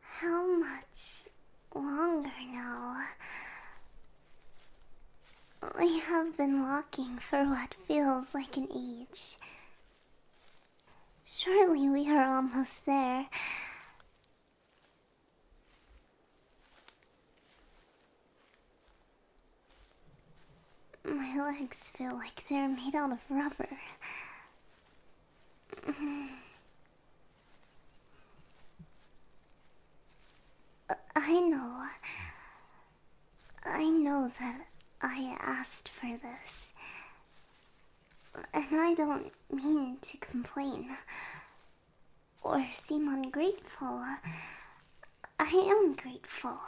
How much longer now? We have been walking for what feels like an age. Surely we are almost there. My legs feel like they're made out of rubber. I know. I know that I asked for this. And I don't mean to complain or seem ungrateful. I am grateful.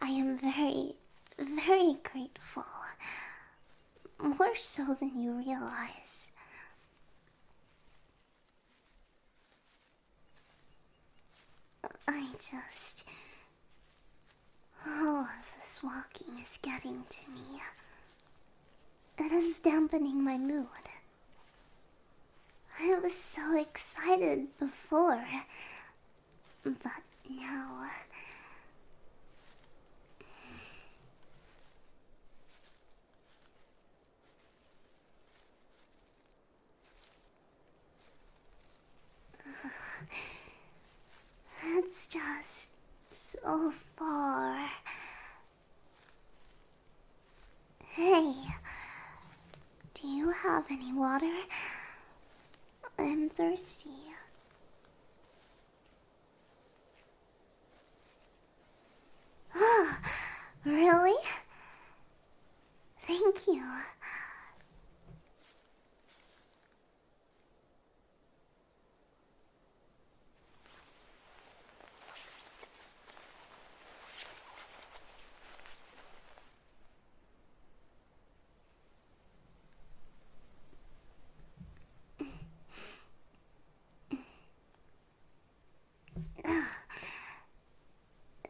I am very, very grateful. More so than you realize. I just. All of this walking is getting to me. and is dampening my mood. I was so excited before. But now. it's just so far. Hey, do you have any water? I'm thirsty. Oh, really? Thank you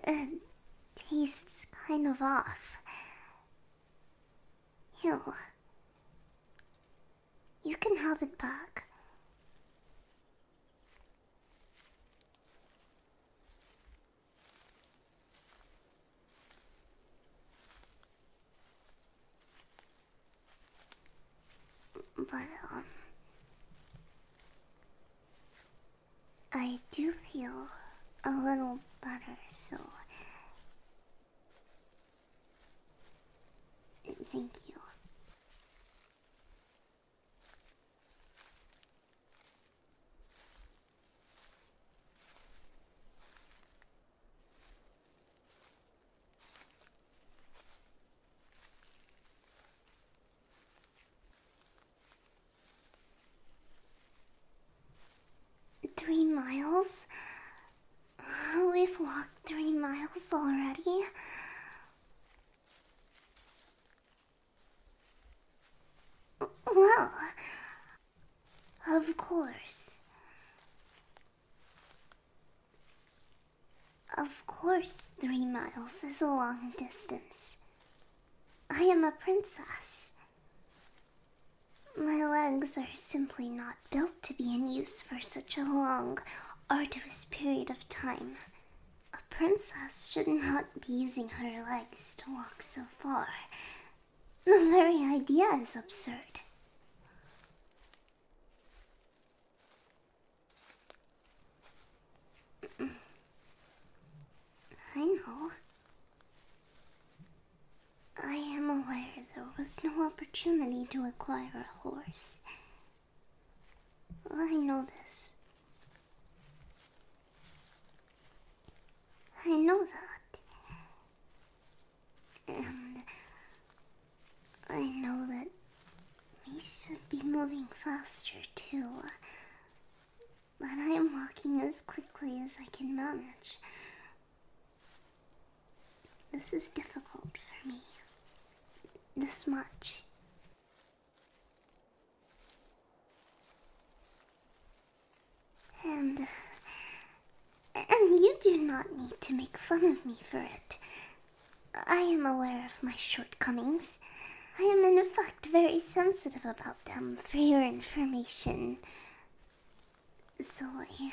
it tastes kind of off. Ew. You can have it back. But, um, I do feel a little better, so thank you. Three miles? We've walked three miles already. Well, of course. Of course, three miles is a long distance. I am a princess. My legs are simply not built to be in use for such a long, arduous period of time. A princess should not be using her legs to walk so far, the very idea is absurd. I know. I am aware there was no opportunity to acquire a horse. I know this I know that. And I know that we should be moving faster too. But I'm walking as quickly as I can manage. This is difficult for me. This much. And. and you do not need to make fun of me for it. I am aware of my shortcomings. I am, in fact, very sensitive about them for your information. So I.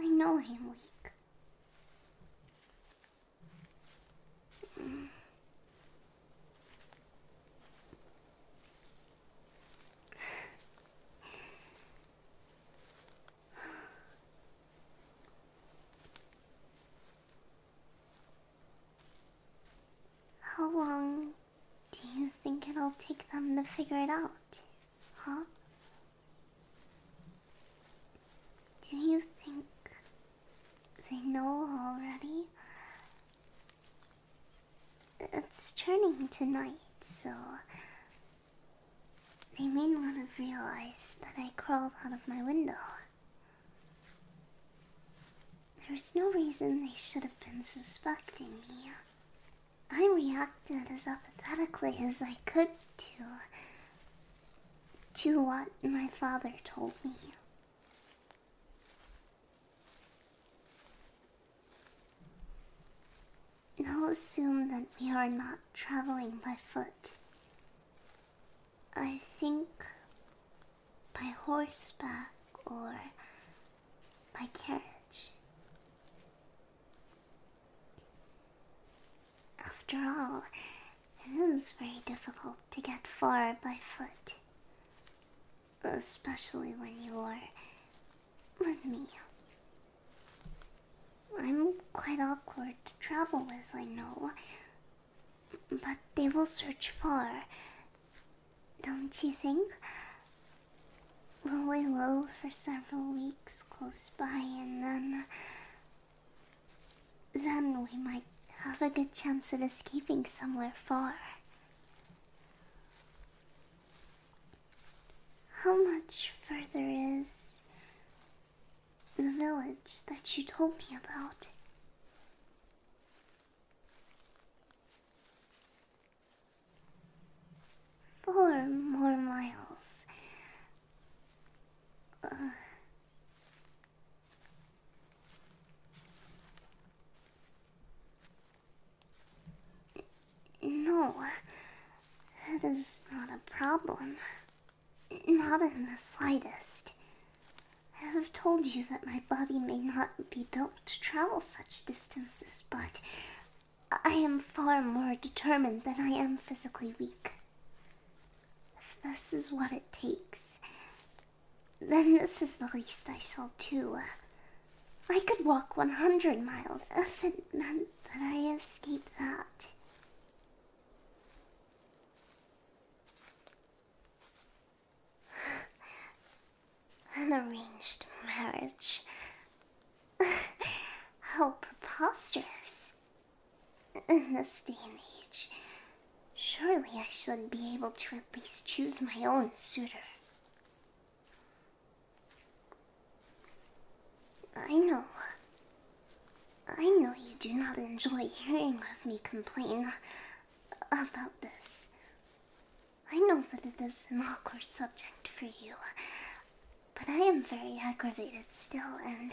I know I am weak. How long do you think it'll take them to figure it out? Huh? Do you think they know already? It's turning to night, so they may not have realized that I crawled out of my window. There's no reason they should have been suspecting me. I reacted as apathetically as I could to to what my father told me. Now assume that we are not traveling by foot. I think by horseback or by carriage. After all, it is very difficult to get far by foot. Especially when you are with me. I'm quite awkward to travel with, I know. But they will search far. Don't you think? We'll lay low for several weeks close by and then then we might have a good chance of escaping somewhere far. How much further is the village that you told me about? Four more miles. Uh, no, that is not a problem. Not in the slightest. I have told you that my body may not be built to travel such distances, but I am far more determined than I am physically weak. If this is what it takes, then this is the least I shall do. I could walk 100 miles if it meant that I escaped that. An arranged marriage. How preposterous. In this day and age, surely I should be able to at least choose my own suitor. I know. I know you do not enjoy hearing of me complain about this. I know that it is an awkward subject for you. But I am very aggravated still, and.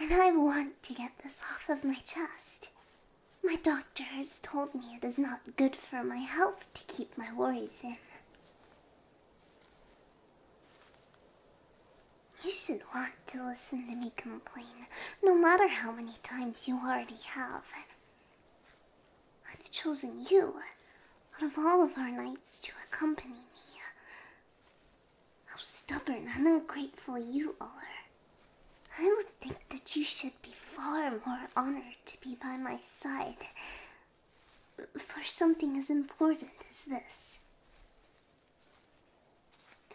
and I want to get this off of my chest. My doctor has told me it is not good for my health to keep my worries in. You should want to listen to me complain, no matter how many times you already have. I've chosen you, out of all of our knights, to accompany me. How stubborn and ungrateful you are. I would think that you should be far more honored to be by my side for something as important as this.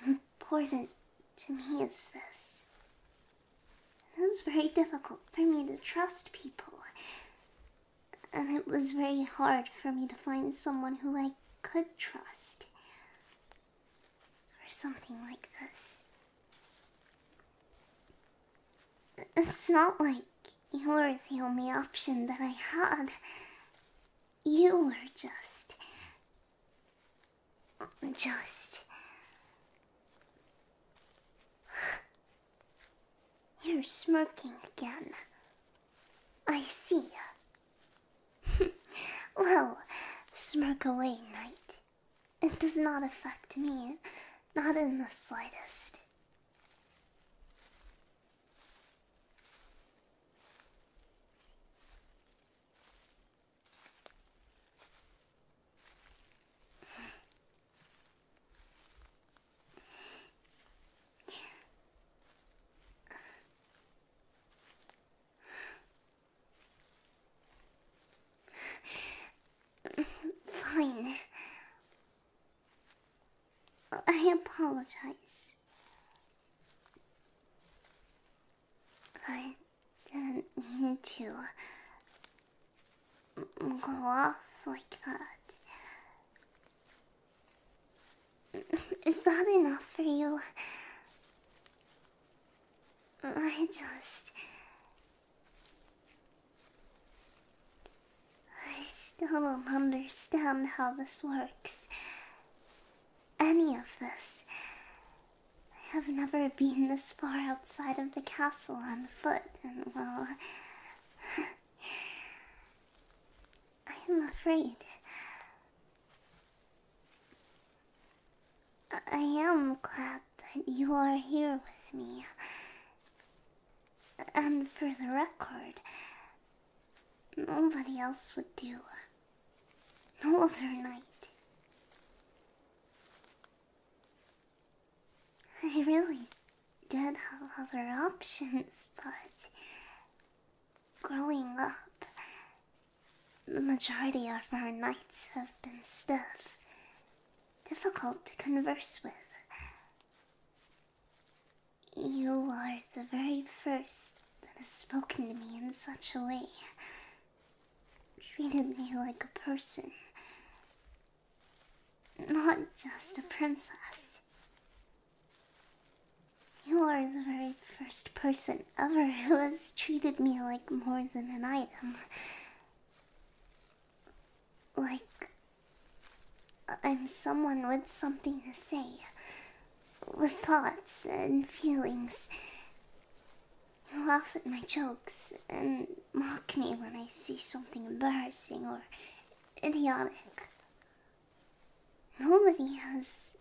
Important to me is this. It is very difficult for me to trust people and it was very hard for me to find someone who I could trust. Or something like this. It's not like you were the only option that I had. You were just. just. You're smirking again. I see. well, smirk away, knight. It does not affect me, not in the slightest. Fine. I apologize. I didn't mean to go off like that. Is that enough for you? I just. I still don't understand how this works. Any of this. I have never been this far outside of the castle on foot, and well. I am afraid. I am glad that you are here with me. And for the record, nobody else would do. No other night. I really did have other options, but Growing up, the majority of our nights have been stiff, difficult to converse with. You are the very first that has spoken to me in such a way, treated me like a person, not just a princess. You're the very first person ever who has treated me like more than an item. Like, I'm someone with something to say, with thoughts and feelings. You laugh at my jokes and mock me when I say something embarrassing or idiotic. Nobody has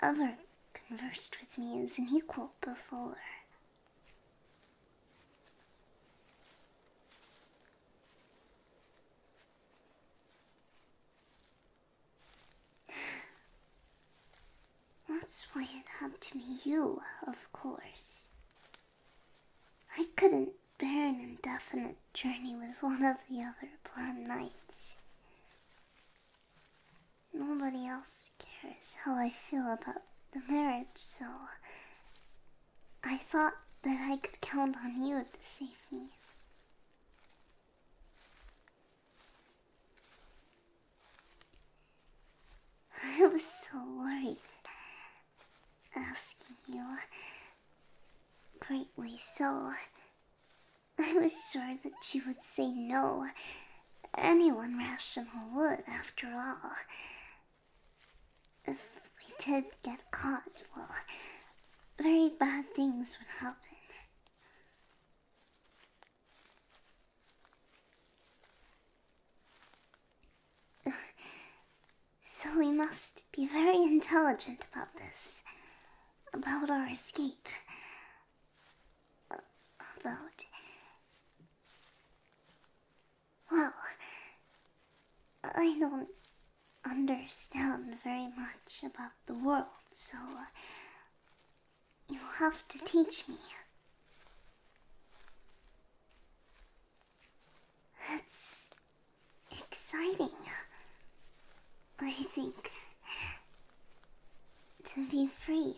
ever conversed with me as an equal before. That's why it had to be you, of course. I couldn't Bare and indefinite journey with one of the other blonde knights. Nobody else cares how I feel about the marriage, so I thought that I could count on you to save me. I was so worried asking you Greatly so. I was sure that you would say no. Anyone rational would, after all. If we did get caught, well, very bad things would happen. So we must be very intelligent about this. About our escape. about. Well, I don't understand very much about the world, so you'll have to teach me. That's exciting. I think to be free,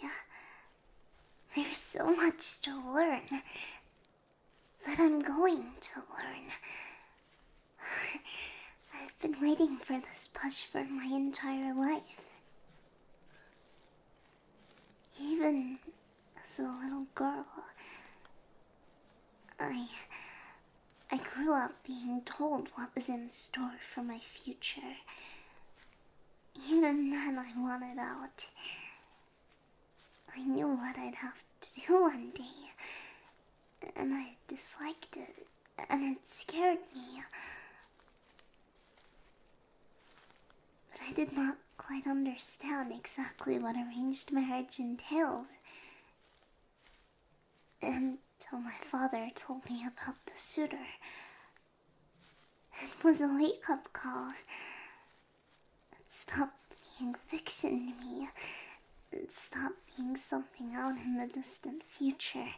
there's so much to learn that I'm going to learn. I've been waiting for this push for my entire life. Even as a little girl, I. I grew up being told what was in store for my future. Even then, I wanted out. I knew what I'd have to do one day, and I disliked it, and it scared me. But I did not quite understand exactly what arranged marriage entails until my father told me about the suitor. It was a wake up call. It stopped being fiction to me. It stopped being something out in the distant future.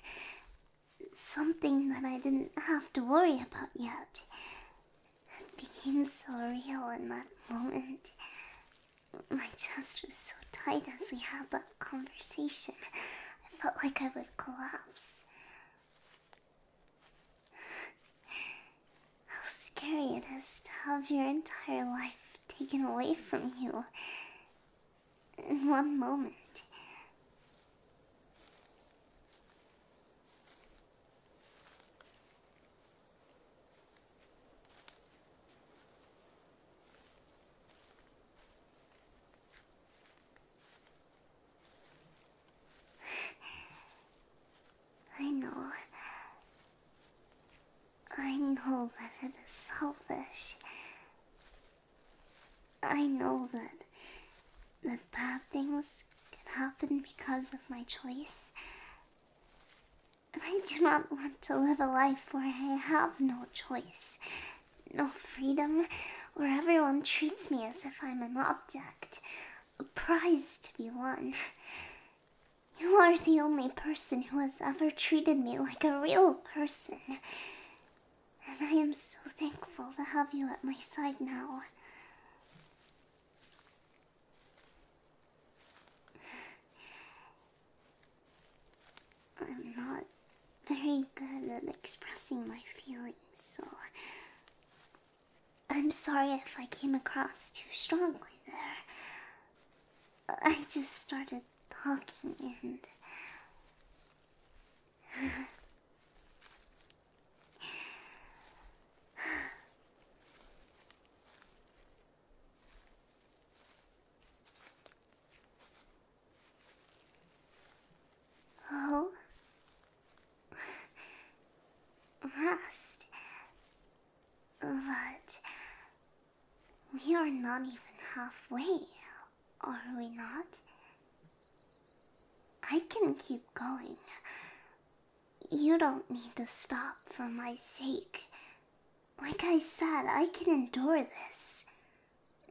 Something that I didn't have to worry about yet. It became so real in that moment. My chest was so tight as we had that conversation. I felt like I would collapse. How scary it is to have your entire life taken away from you in one moment. I know. I know that it is selfish. I know that that bad things can happen because of my choice. I do not want to live a life where I have no choice, no freedom, where everyone treats me as if I'm an object, a prize to be won. You are the only person who has ever treated me like a real person. And I am so thankful to have you at my side now. I'm not very good at expressing my feelings, so I'm sorry if I came across too strongly there. I just started talking and. Oh. Rust. But we are not even halfway, are we not? I can keep going. You don't need to stop for my sake. Like I said, I can endure this.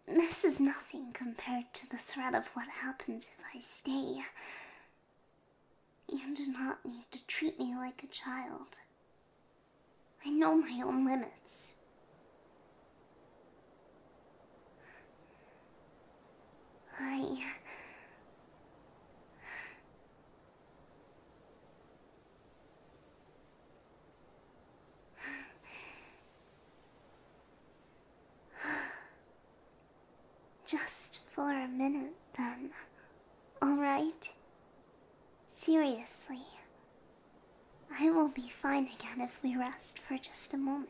This is nothing compared to the threat of what happens if I stay. You do not need to treat me like a child. I know my own limits. I. Just for a minute, then. Alright? Seriously. I will be fine again if we rest for just a moment.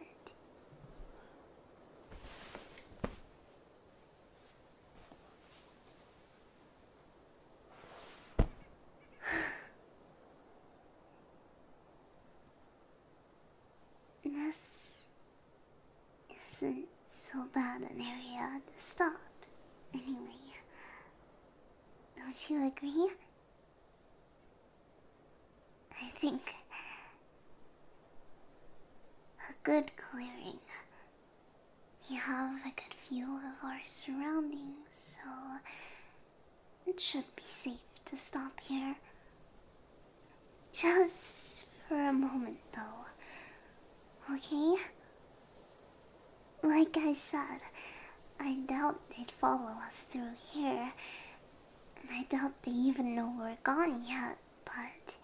this isn't so bad an area to stop, anyway. Don't you agree? I think a good clearing we have a good view of our surroundings, so it should be safe to stop here. Just for a moment, though. Okay? Like I said, I doubt they'd follow us through here, and I doubt they even know we're gone yet, but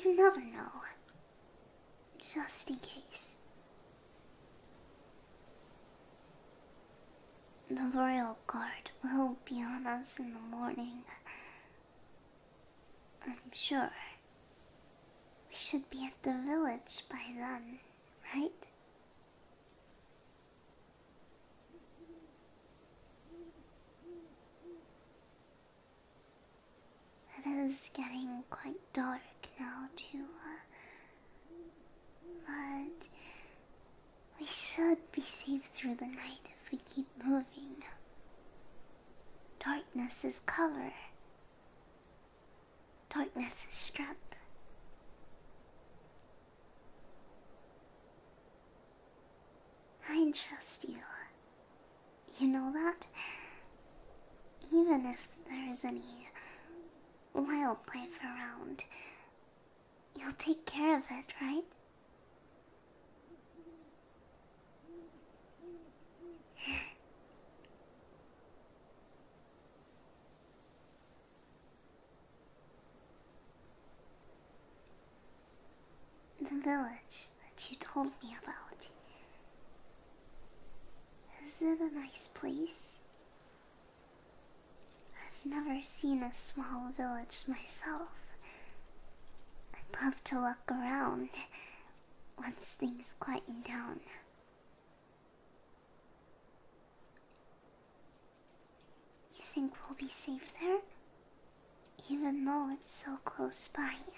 you never know just in case. The royal guard will be on us in the morning. I'm sure. We should be at the village by then, right? It is getting quite dark now, too. Uh, but we should be safe through the night if we keep moving. Darkness is cover, darkness is strength. I trust you. You know that? Even if there is any wildlife around, you'll take care of it, right? The village that you told me about. Is it a nice place? I've never seen a small village myself. I would love to look around once things quieten down. You think we'll be safe there? even though it's so close by you.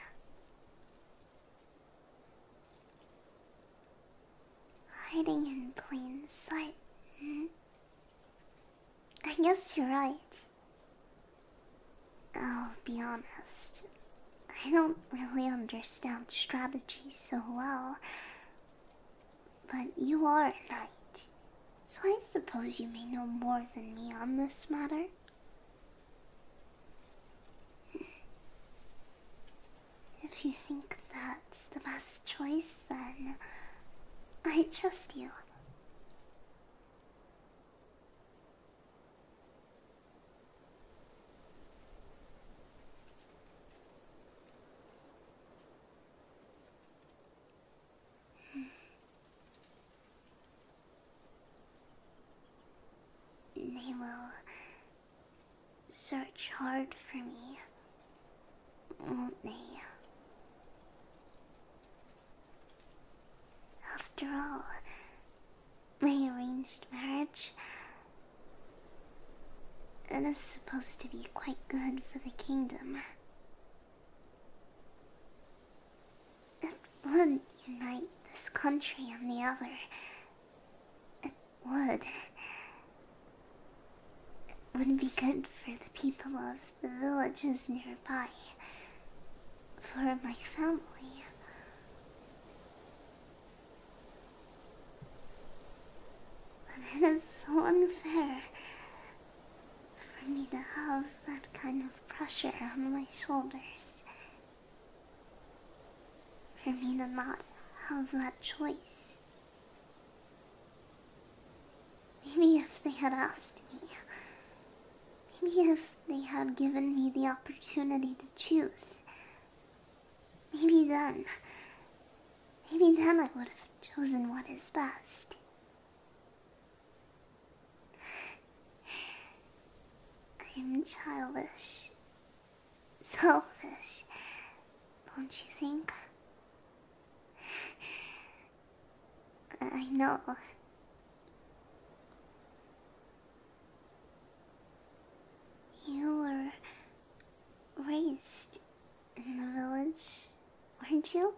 Hiding in plain sight, hmm? I guess you're right. I'll be honest, I don't really understand strategy so well. But you are a knight, so I suppose you may know more than me on this matter. If you think that's the best choice, then I trust you. They will search hard for me, won't they? After all, my arranged marriage. It is supposed to be quite good for the kingdom. It would unite this country and the other. It would. It would be good for the people of the villages nearby. For my family. But it is so unfair for me to have that kind of pressure on my shoulders for me to not have that choice. Maybe if they had asked me, maybe if they had given me the opportunity to choose, maybe then, maybe then I would have chosen what is best. I'm childish, selfish, don't you think? I know. You were raised in the village, weren't you?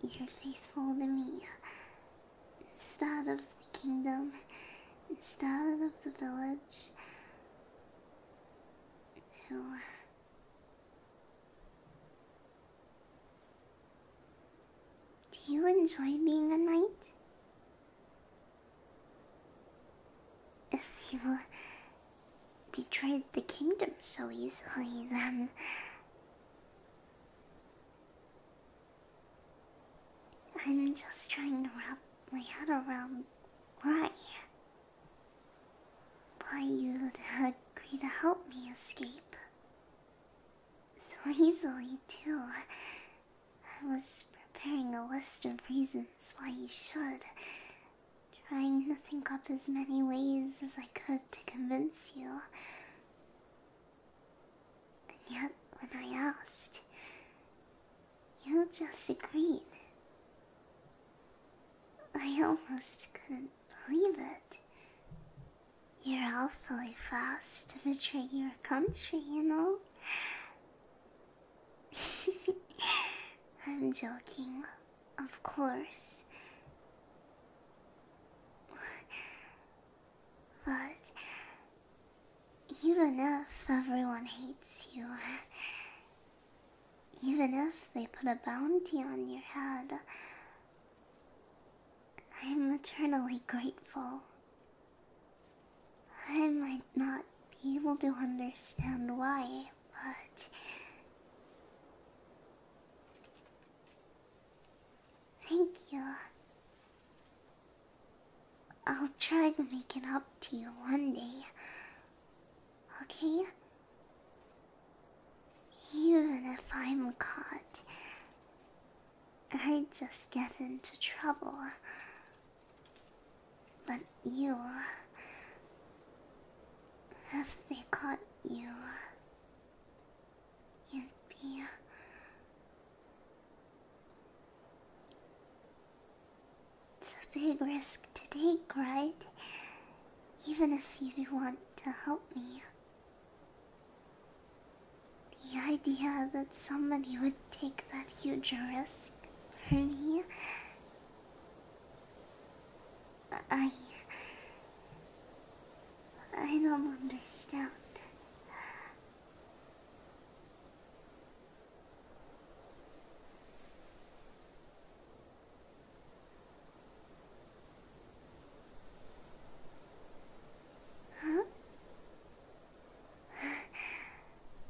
But you're faithful to me. Instead of the kingdom, instead of the village. No. Do you enjoy being a knight? If you betrayed the kingdom so easily, then I'm just trying to wrap my head around why. Why you'd agree to help me escape. So easily, too. I was preparing a list of reasons why you should, trying to think up as many ways as I could to convince you. And yet, when I asked, you just agreed. I almost couldn't believe it. You're awfully fast to betray your country, you know? I'm joking. Of course. But even if everyone hates you, even if they put a bounty on your head, I'm eternally grateful. I might not be able to understand why, but Thank you. I'll try to make it up to you one day. Okay? Even if I'm caught, I just get into trouble. But you. If they caught you, 指輪 it's a big risk to take, right? Even if you want to help me. The idea that somebody would take that huge risk for me. I... I don't understand. Huh?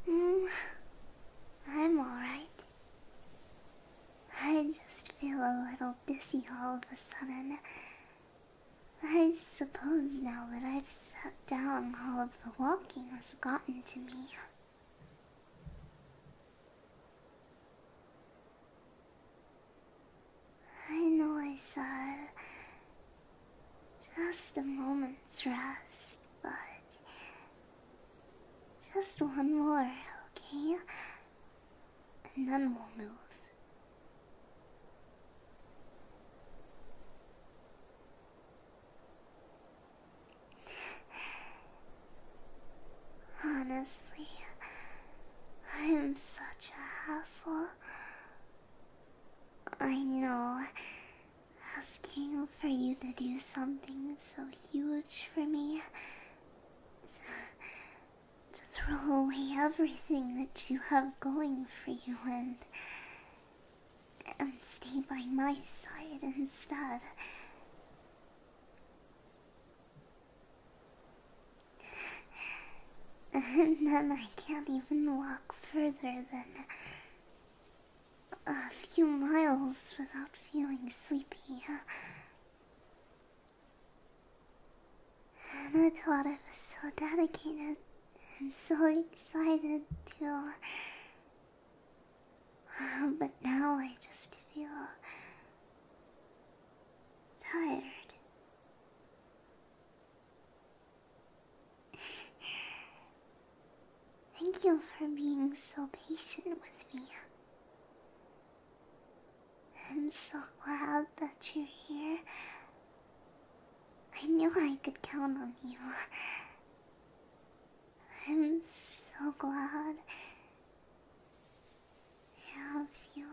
mm, I'm all right. I just feel a little dizzy all of a sudden. I suppose now that I've sat down, all of the walking has gotten to me. I know I said just a moment's rest, but just one more, okay? and then we'll move. Honestly, I'm such a hassle. I know asking for you to do something so huge for me to throw away everything that you have going for you and and stay by my side instead. And then I can't even walk further than a few miles without feeling sleepy i thought I was so dedicated and so excited too, But now I just feel tired. Thank you for being so patient with me. I'm so glad that you're here. I knew I could count on you. I'm so glad I have you.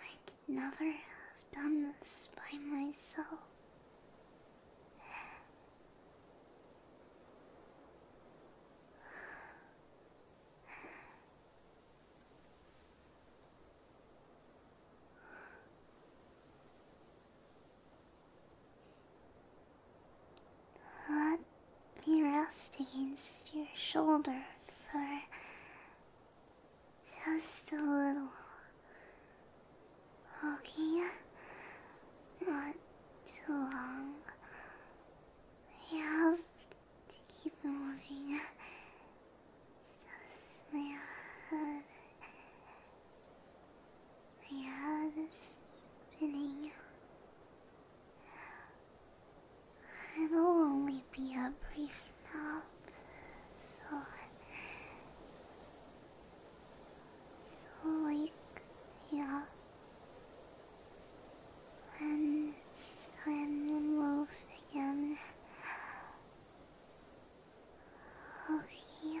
I could never have done this by myself. Let me rest against your shoulder for just a little Okay. Not too long. We have to keep moving. just my head. My head is spinning. It'll only be a brief nap, so so weak yeah when it's time to move again okay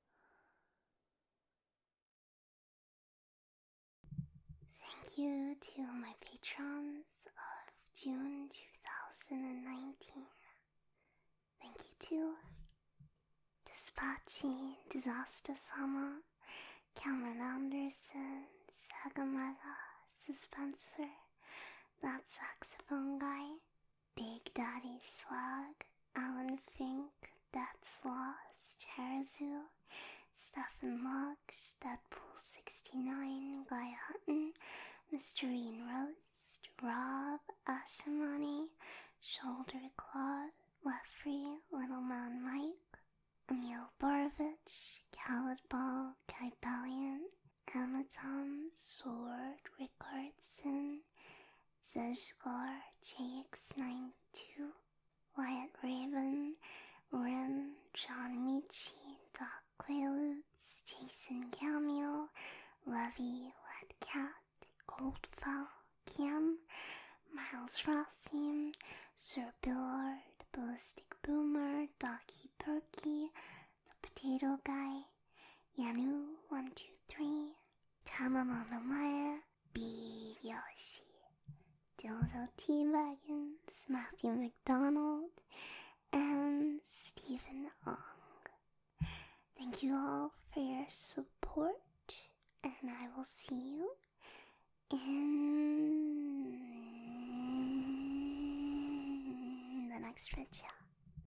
Thank you to my patrons of June 2019. Thank you to Despachi, Disaster Summer, Cameron Anderson, Sagamaga, Suspenser, That Saxophone Guy, Big Daddy Swag, Alan Fink, That's lost Loss, Stephen Stefan that Deadpool69, Guy Hutton, Mysterine Roast, Rob, Ashamani, Shoulder Claude, Leffrey, Little Man Mike, Emil Borovich, Khaled Ball, Kai Bellion, Amatom, Sword, Rickardson, Zushgar JX92, Wyatt Raven, Ren, John Michi, Doc Quaaludes, Jason Cameo, Lovey Wet Cat, Goldfell, Kim, Miles Rossim, Sir Billard, Ballistic Boomer, Docky Perky, the potato guy, Yanu123, Tamamamamaya, Big Yoshi, Dildo T Wagon, Smappy McDonald, and Stephen Ong. Thank you all for your support, and I will see you in the next video.